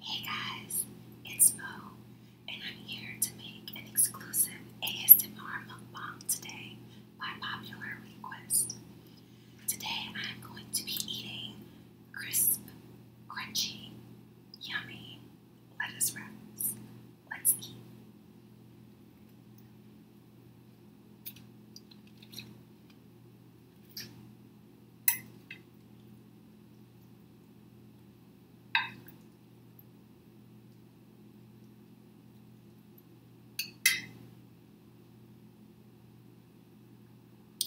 Hey guys, it's Mo, and I'm here to make an exclusive ASMR mukbang today by popular request. Today I'm going to be eating crisp, crunchy, yummy lettuce wraps. Let's eat.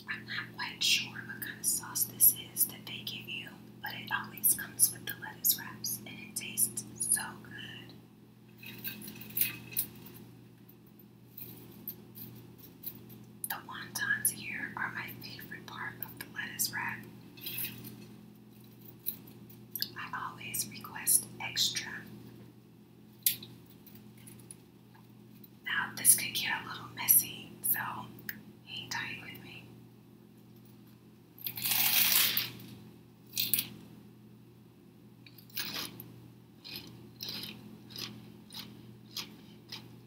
I'm not quite sure what kind of sauce this is that they give you, but it always comes with the lettuce wraps and it tastes so good. The wontons here are my favorite part of the lettuce wrap. I always request extra. Now, this could get a little messy, so hang tight with me.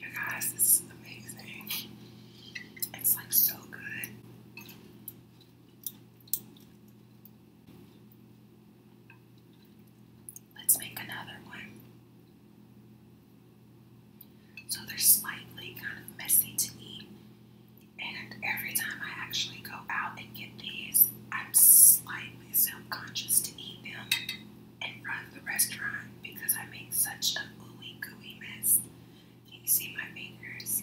You guys, this is amazing. It's like so good. Let's make another one. So they're slightly kind of messy to eat. And every time I actually go out and get these, I'm slightly self-conscious to eat them and run the restaurant because I make such a ooey gooey mess. Can you see my fingers?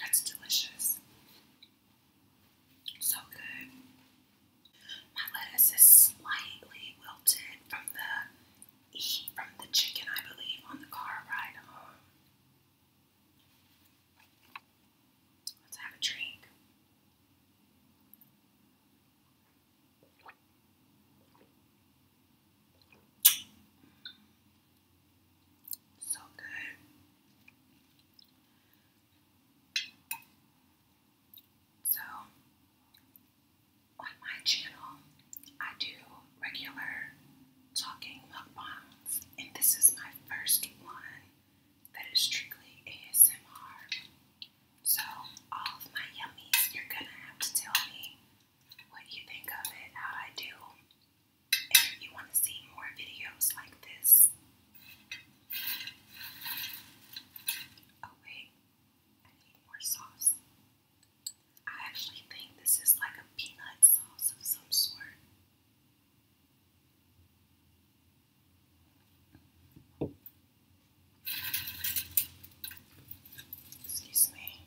That's delicious. So good. My lettuce is slightly wilted from the heat from the chicken, I believe, on the car ride home. Let's have a drink. So good. So, on my channel, I do regular talking mukbangs, and this is my first one that is strictly ASMR. So, all of my yummies, you're gonna have to tell me what you think of it, how I do, and if you want to see more videos like this, Oh wait, I need more sauce. I actually think this is like a peanut sauce of some sort. Excuse me.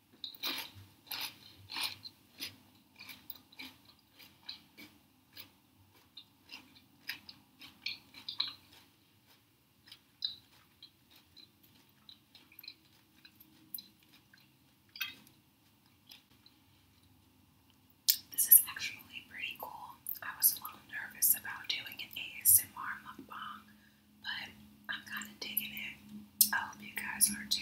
This is actually pretty cool. I was a little nervous about doing an ASMR mukbang, but I'm kind of digging it. I hope you guys are too.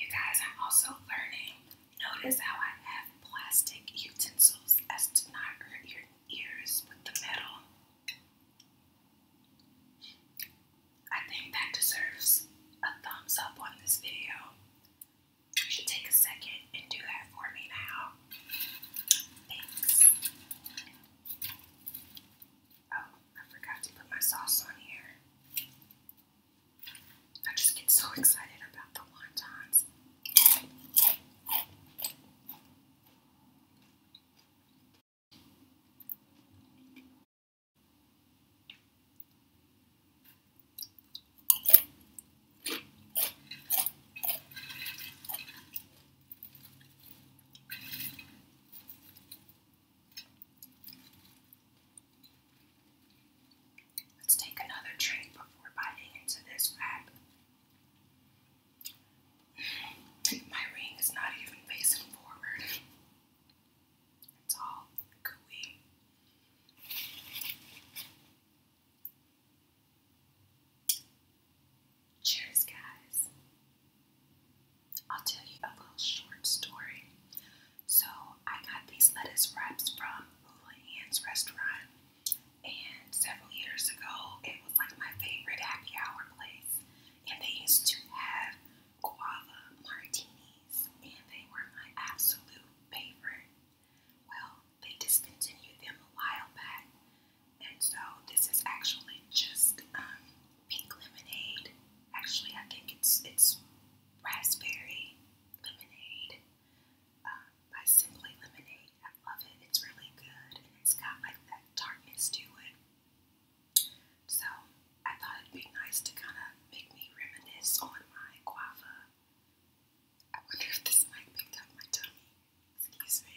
You guys, I'm also learning Notice how I have plastic utensils as to not hurt your ears with the metal. I think that deserves a thumbs up on this video. You should take a second and do that for me now. Thanks. Oh, I forgot to put my sauce on here. I just get so excited about the wontons. Let's take another drink before biting into this wrap. My ring is not even facing forward. It's all gooey. Cheers, guys. I'll tell you a little short story. So, I got these lettuce wraps from Hula Ann's restaurant. And several years ago, it was like my favorite happy hour place. And they used to have guava martinis, and they were my absolute favorite. Well, they discontinued them a while back, and so this is actually just um, pink lemonade. Actually, I think it's it's raspberry lemonade. Um, by Simply Lemonade. I love it. It's really good and it's got like that tartness to it. So I thought it'd be nice to kind of make me reminisce on my guava. I wonder if this mic picked up my tummy. Excuse me.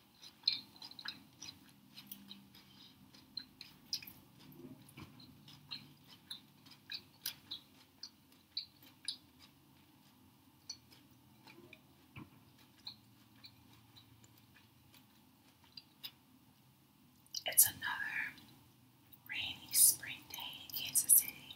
It's another rainy spring day in Kansas City.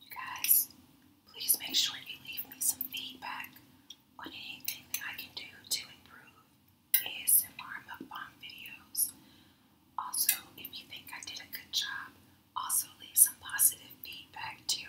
you guys, please make sure you leave me some feedback on anything that I can do to improve ASMR mukbang videos. Also, if you think I did a good job, also leave some positive feedback too.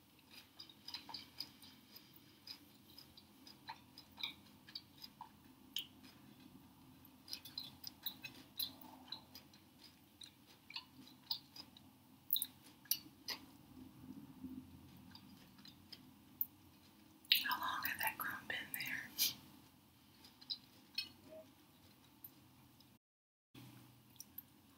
How long had that crumb been there?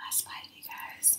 Last bite, you guys.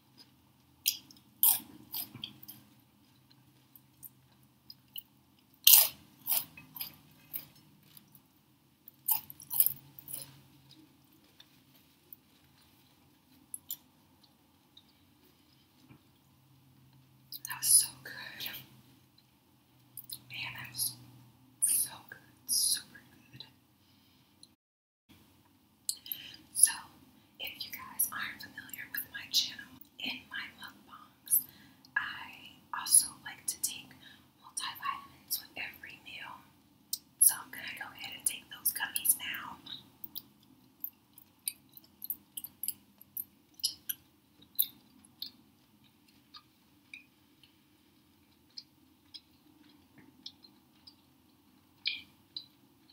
That was so good. Man, that was so good. Super good. So, if you guys aren't familiar with my channel, in my mukbangs, I also like to take multivitamins with every meal. So, I'm going to go ahead and take those gummies now.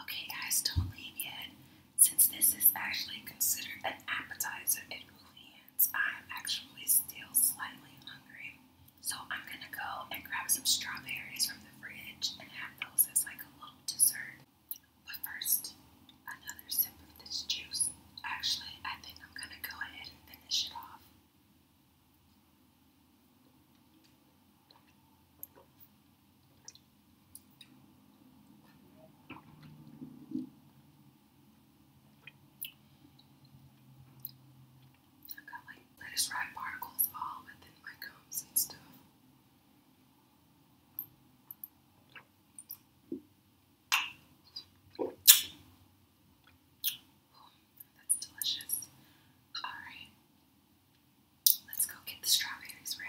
Okay, guys, don't leave yet. Since this is actually considered an appetizer, it really I'm actually still slightly hungry. So I'm gonna go and grab some strawberries from the fridge and have those as like a little dessert. But first, another sip of this juice. Actually, I think I'm gonna go ahead and finish it off. I've got like lettuce wrap particles all within my gums and stuff. Oh, that's delicious. Alright. Let's go get the strawberries ready.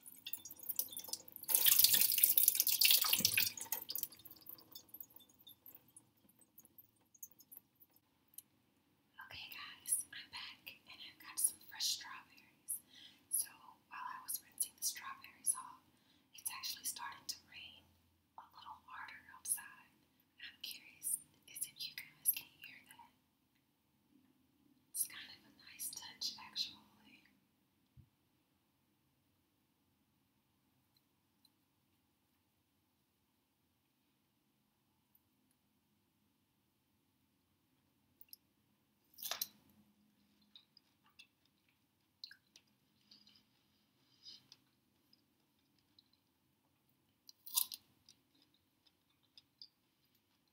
Okay guys, I'm back and I've got some fresh strawberries. So while I was rinsing the strawberries off, it's actually starting to rain a little harder outside. I'm curious is if you guys can hear that. It's kind of a nice touch, actually.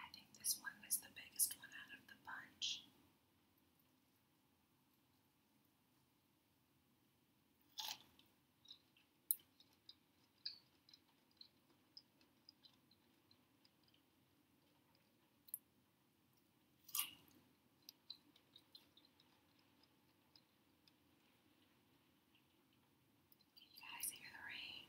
I think this one was the biggest one out of the bunch. Can you guys hear the rain?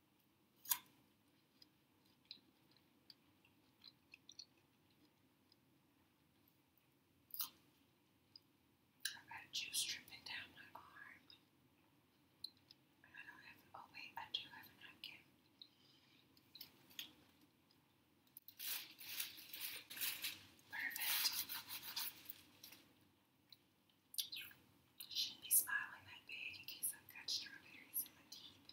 I've got juice dripping down my arm. I don't have, oh wait, I do have a napkin. Perfect. You shouldn't be smiling that big in case I've got strawberries in my teeth.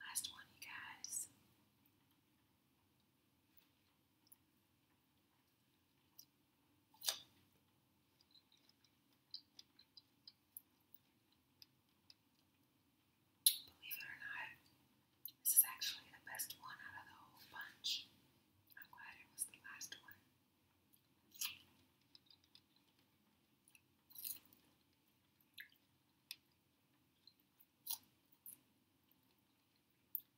Last one, you guys. Believe it or not, this is actually the best one out of the whole bunch. I'm glad it was the last one.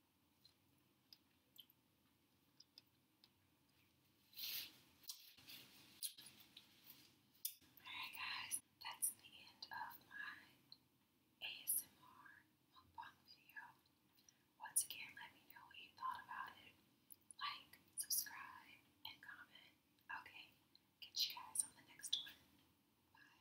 Alright guys, that's the end of my ASMR mukbang video. Once again, let me know what you thought about it. Like, subscribe, and comment. Okay, catch you guys on the next one. Bye.